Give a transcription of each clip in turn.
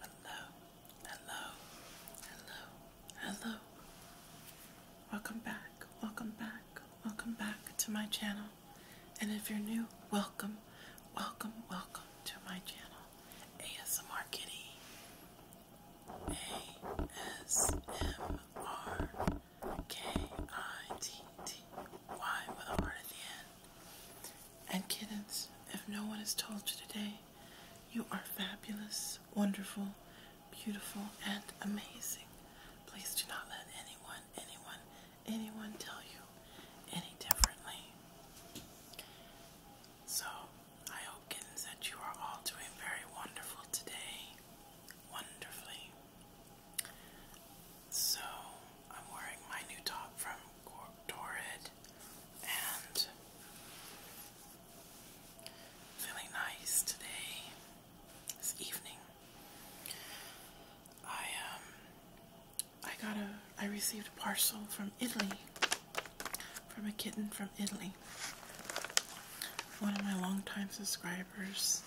Hello, hello, hello, hello. Welcome back, welcome back, welcome back to my channel. And if you're new, welcome, welcome, welcome to my channel, ASMR Kitty. ASMR R K I T T Y with a heart at the end. And kittens, if no one has told you today, you are fabulous, wonderful, beautiful, and amazing. Please do not let anyone, anyone, anyone tell you any differently. So, I hope, that you are all doing very wonderful today. Wonderfully. So, I'm wearing my new top from Torrid and feeling nice today, this evening. I um I got a I received a parcel from Italy from a kitten from Italy. One of my longtime subscribers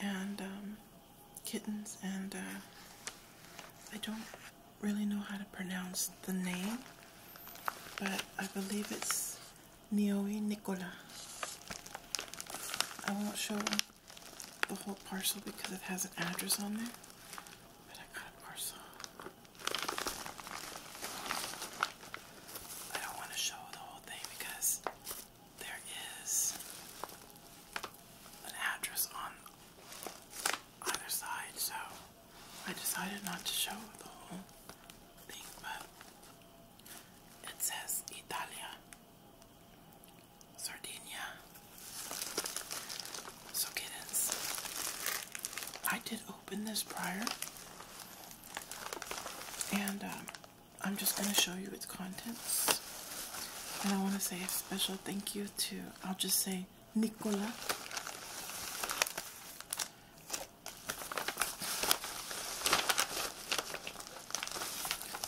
and um, kittens, and uh, I don't really know how to pronounce the name, but I believe it's Nioi Nicola. I won't show the whole parcel because it has an address on there. But I got a parcel. I don't want to show the whole thing because there is an address on either side, so I decided not to show the whole thing, but it says Italia, Sardinia. So, kittens, I did open this prior, and um, I'm just going to show you its contents. And I want to say a special thank you to, I'll just say, Nicola.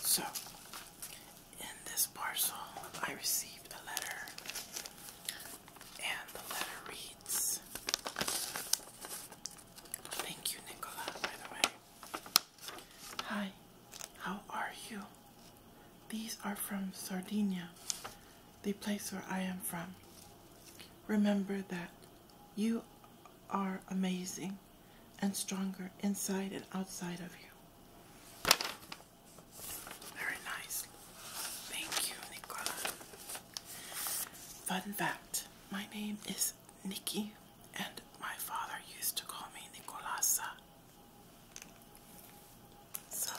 So, in this parcel, I received a letter, and the letter reads Thank you, Nicola, by the way. Hi, how are you? These are from Sardinia, the place where I am from. Remember that you are amazing and stronger inside and outside of you. Very nice. Thank you, Nicola. Fun fact my name is Nikki, and my father used to call me Nicolasa. So,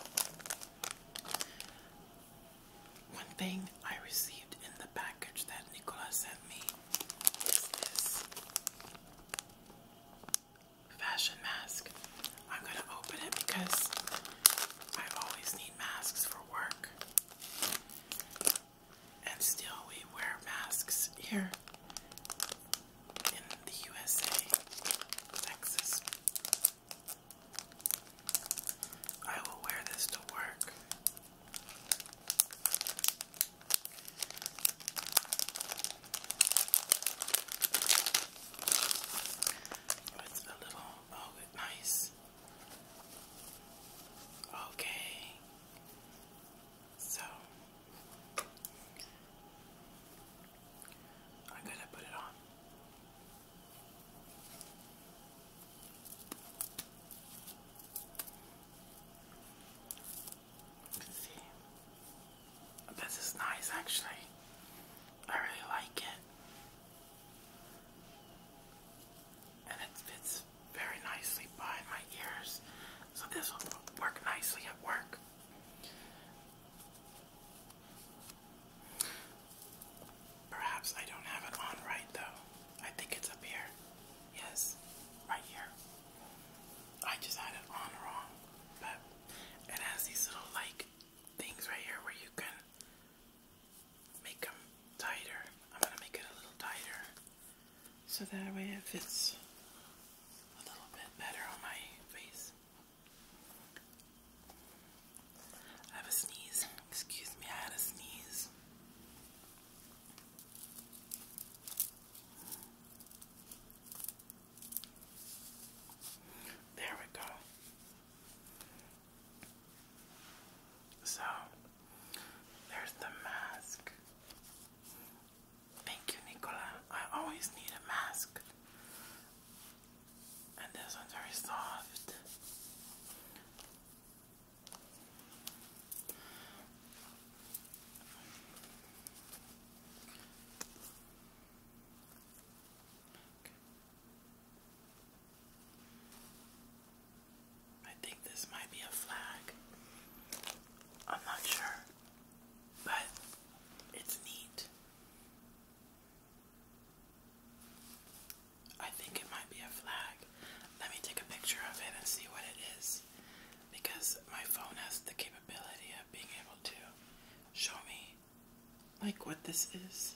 one thing I received in the package that Nicola sent me is this fashion mask. I'm going to open it because I always need masks for work. And still, we wear masks here in the USA, Texas. I will wear this to work. With a little, oh, nice Okay. So I'm going to put it on. see. This is nice actually. I really like it and it fits very nicely by my ears. So this will work nicely at work. Perhaps I don't have it on right though. I think it's up here. Yes, right here. I just had it on wrong. But it has these little like things right here where you can make them tighter. I'm going to make it a little tighter so that way it fits a little bit better on my face. I have a sneeze. Excuse me, I had a sneeze. There we go. So there's the mask. Thank you, Nicola. I always need a mask. And this one's very soft. I think this might be a flag. I'm not sure, but it's neat. I think it might be a flag. Let me take a picture of it and see what it is because my phone has the capability of being able to show me like what this is.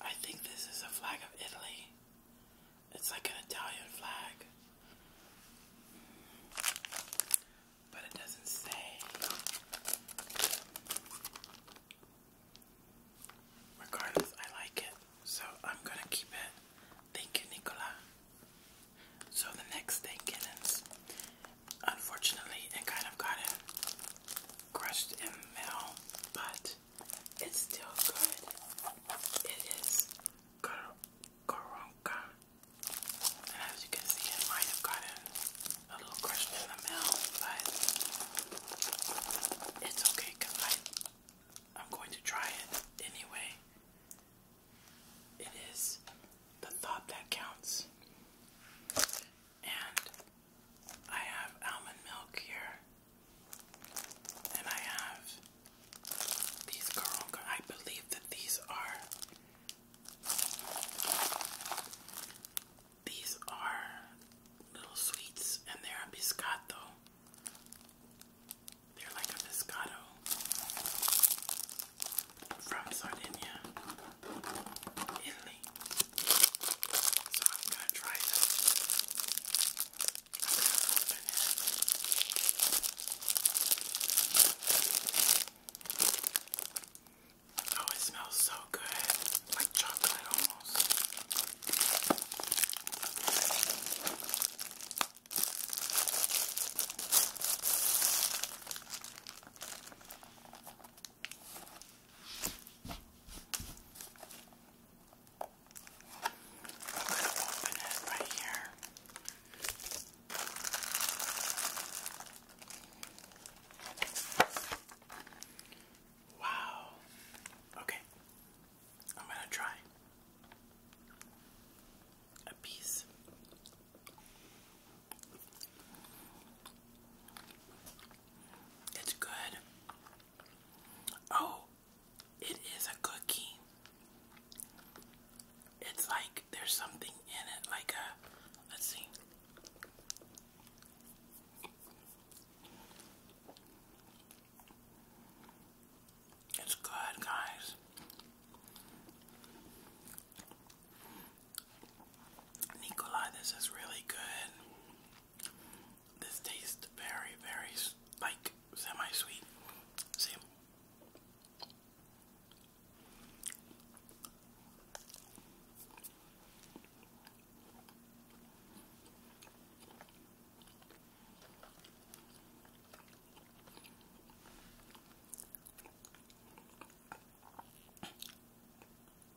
I think this is a flag of Italy. It's like an Italian flag. But it doesn't say. Regardless, I like it. So I'm gonna keep it. Thank you, Nicola. So the next thing, kittens. Unfortunately, it kind of got crushed in mail, but it's still good. It is Koronka. And as you can see, it might have gotten a little crushed in the mill, but it's okay because I'm going to try it anyway. It is the thought that counts. And I have almond milk here and I have these girl, I believe that these are these are little sweets and they're a biscotto. They're like a biscotto from Sardinia, Italy. So I'm gonna try this. I'm gonna open it. Oh, it smells so good. Like chocolate almost. I'm going to open it right here. Wow. Okay. I'm going to try a piece. It's good. Oh, it is a cookie. It's like there's something in it, like a, let's see. It's good, guys. Nikolai, this is really good. This tastes very, very like semi-sweet. See,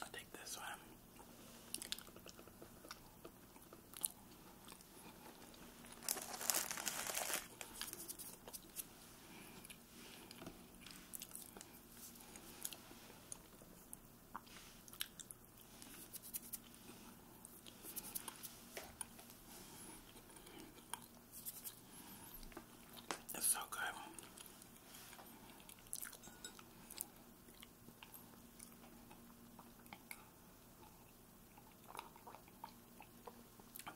I think this one. It's so good.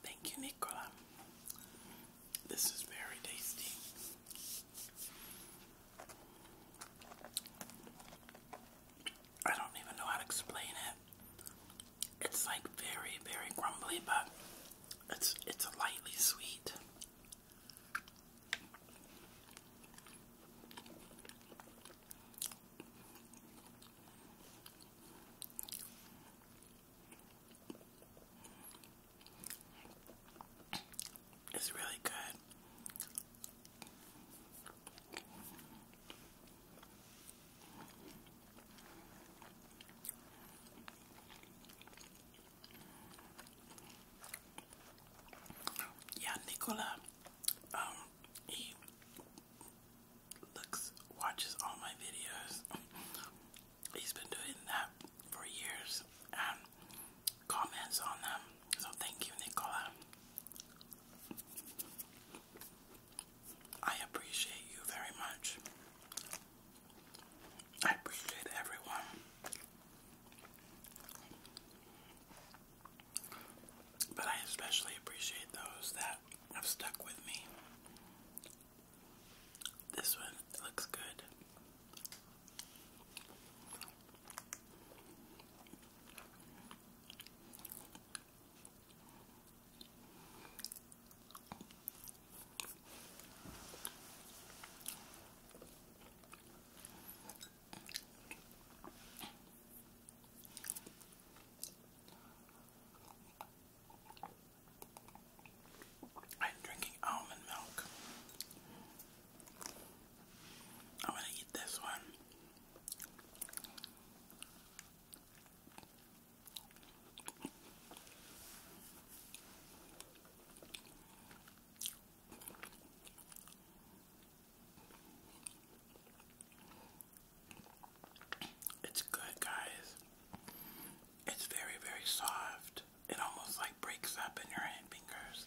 Thank you, Nicola. This is very tasty. I don't even know how to explain it. It's like very, very crumbly, but it's it's lightly sweet. It's really good. Yeah, Nicola, um, he looks, watches all my videos. He's been doing that for years and comments on them. So thank you, Nicola. I appreciate you very much. I appreciate everyone. But I especially appreciate those that have stuck with me. This one looks good. I'm drinking almond milk i want to eat this one. It's good, guys. It's very, very soft. It almost like breaks up in your hand fingers.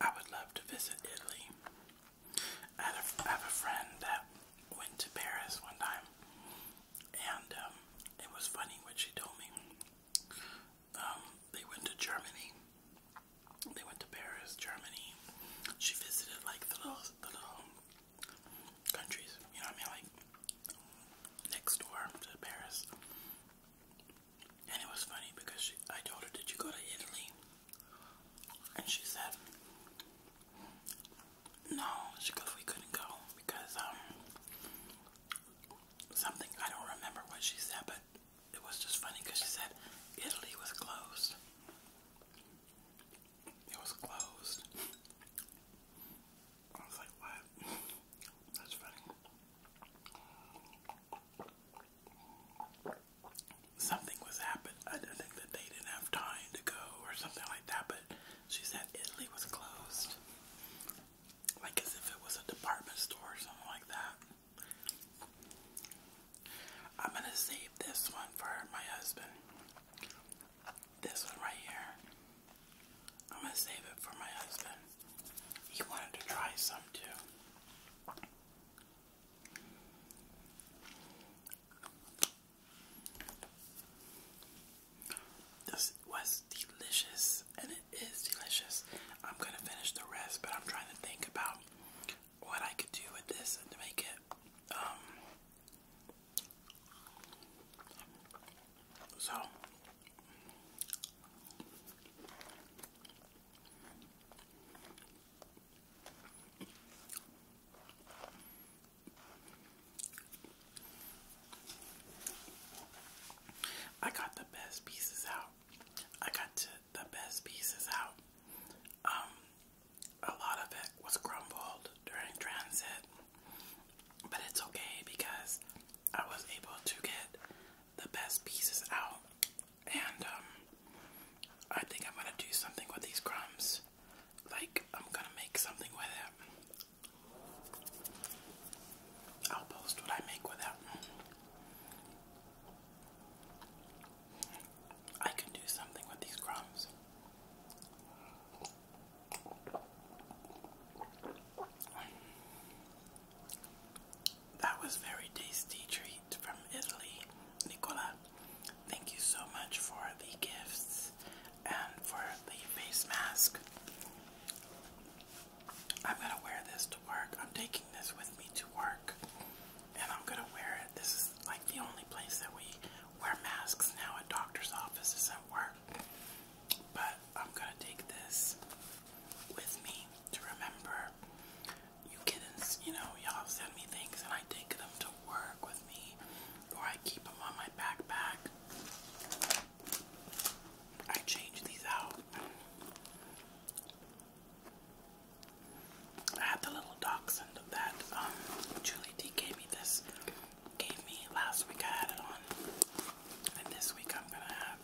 I would love to visit Italy. I have a friend that went to Paris one time, and um, it was funny what she told me. Um, they went to Germany, they went to Paris, Germany. She visited like the little, the little countries. You know what I mean? Like next door to Paris. And it was funny because she, I told her, "Did you go to Italy?" And she said, "No." She goes, "We couldn't go because um." Something I don't remember what she said, but it was just funny because she said Italy was closed. It was closed. I was like, what? That's funny. Something was happened. I think that they didn't have time to go or something like that, but she said Italy was closed. Like as if it was a department store or something like that. I'm going to save this one for my husband. This one right here. I'm going to save it for my husband. He wanted to try some too. This was delicious, and it is delicious. I'm gonna finish the rest, but I'm trying to think about what I could do with this and to make it um, so I got the best pieces out. I got the best pieces out. Um, a lot of it was crumbled during transit, but it's okay because I was able to get the best pieces out, and um, I think I'm gonna do something with these crumbs. Like I'm gonna make something with it. I'll post what I make with it. I can do something with these crumbs. That was very tasty treat from Italy, Nicola. Thank you so much for the gifts and for the face mask. I'm gonna wear this to work. I'm taking this with me to work and I'm gonna wear it. This is like the only place that we wear masks now at doctor's offices at work. But I'm gonna take this with me to remember. You kittens, you know, y'all send me things and I take them to work with me, or I keep them on my backpack. I change these out. I had the little dachshund that um, Julie D gave me this, gave me last week. I had it on, and this week I'm gonna have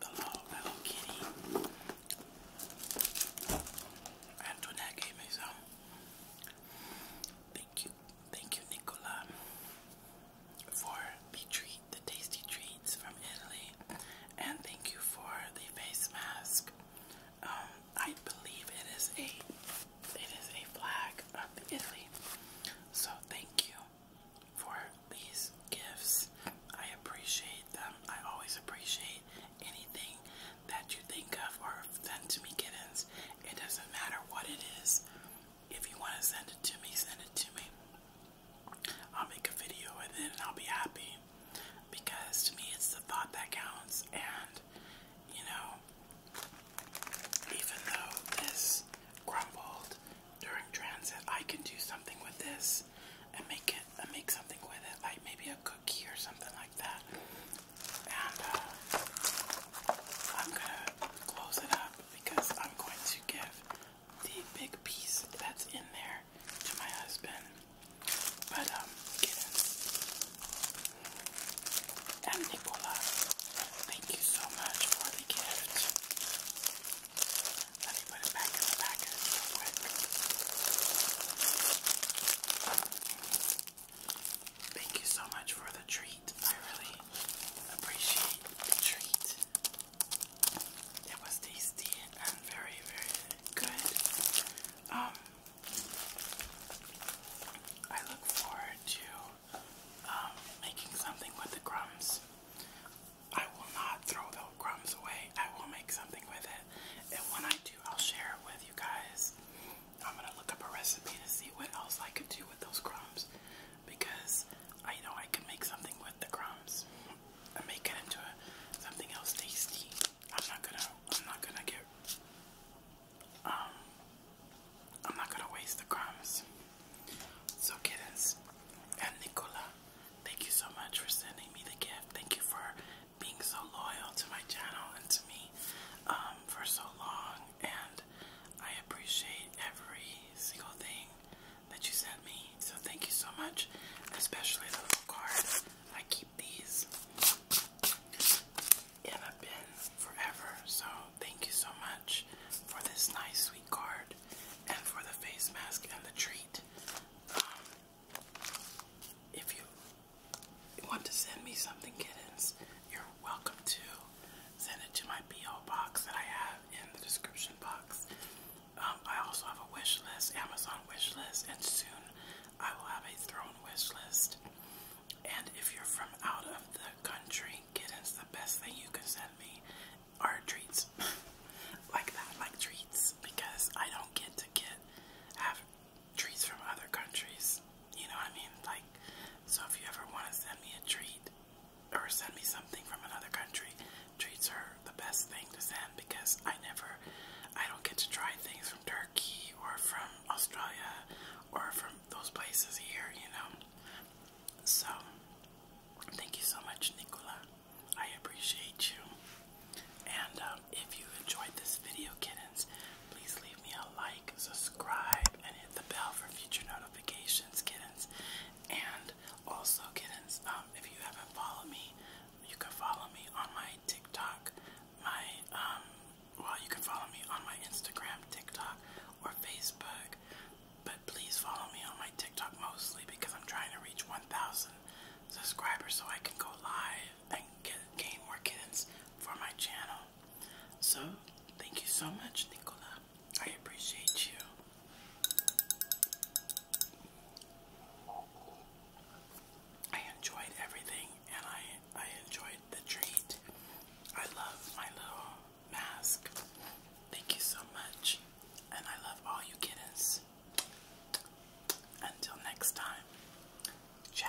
the little, little kitty. Antoinette gave me some. Thank you, thank you, Nicola, for the treat, the tasty treats from Italy, and thank you for the face mask. Um, I believe it is a it is a flag of Italy. So thank you for these gifts. I appreciate them. I always appreciate anything that you think of or send to me kittens. It doesn't matter what it is. If you want to send it to me, send it to me. I'll make a video with it and I'll be happy because to me it's the thought that counts and you know even though this crumbled during transit I can do something with this and make it and make something with it like maybe a cookie or something like that and uh, I'm gonna close it up because I'm going to give the big piece that's in there to my husband. But um and Nicola, thank you so much for the gift. Let me put it back in the package Thank you so much for the treat. I really appreciate the treat. It was tasty and very, very good. Um, I look forward to um, making something with the crumbs. I will not throw the crumbs away. I will make something with it, and when I do, I'll share it with you guys. I'm gonna look up a recipe to see what else I could do with those crumbs, because I know I can make something with the crumbs and make it into something else tasty. I'm not gonna I'm not gonna get um I'm not gonna waste the crumbs. So kittens and Nicola, thank you so much for sending me the gift. Thank you for being so loyal to my channel and to me um, for so long and I appreciate every single thing that you sent me. So thank you so much, especially the little card I keep these in a bin forever. So thank you so much for this nice sweet card and for the face mask and the treat. Um, if you want to send me something, kittens, you're welcome to. Send it to my P.O. box that I have in the description box. Um, I also have a wish list, Amazon wish list, and soon I will have a throne wish list. And if you're from out of the country, get kittens, the best thing you can send me are treats. like that, like treats. Because I don't get to get have treats from other countries. You know what I mean? Like so if you ever want to send me a treat or send me something from another country, treats are the best thing to send because I never, I don't get to try things from Turkey or from Australia or from those places here, you know. So, thank you so much, Nicola. I appreciate you. And um, if you enjoyed this video, kittens, please leave me a like, subscribe, and hit the bell for future notifications, kittens. And also, kittens, um, if you haven't followed me, you can follow me on my TikTok, my um well you can follow me on my Instagram, TikTok, or Facebook. But please follow me on my TikTok mostly because I'm trying to reach 1,000 subscribers so I can go live and get, gain more kids for my channel. So, thank you so much, Nicola. I appreciate you. I enjoyed everything and I I enjoyed the treat. I love my little mask. Thank you so much. And I love all you kiddos. Until next time. Ciao.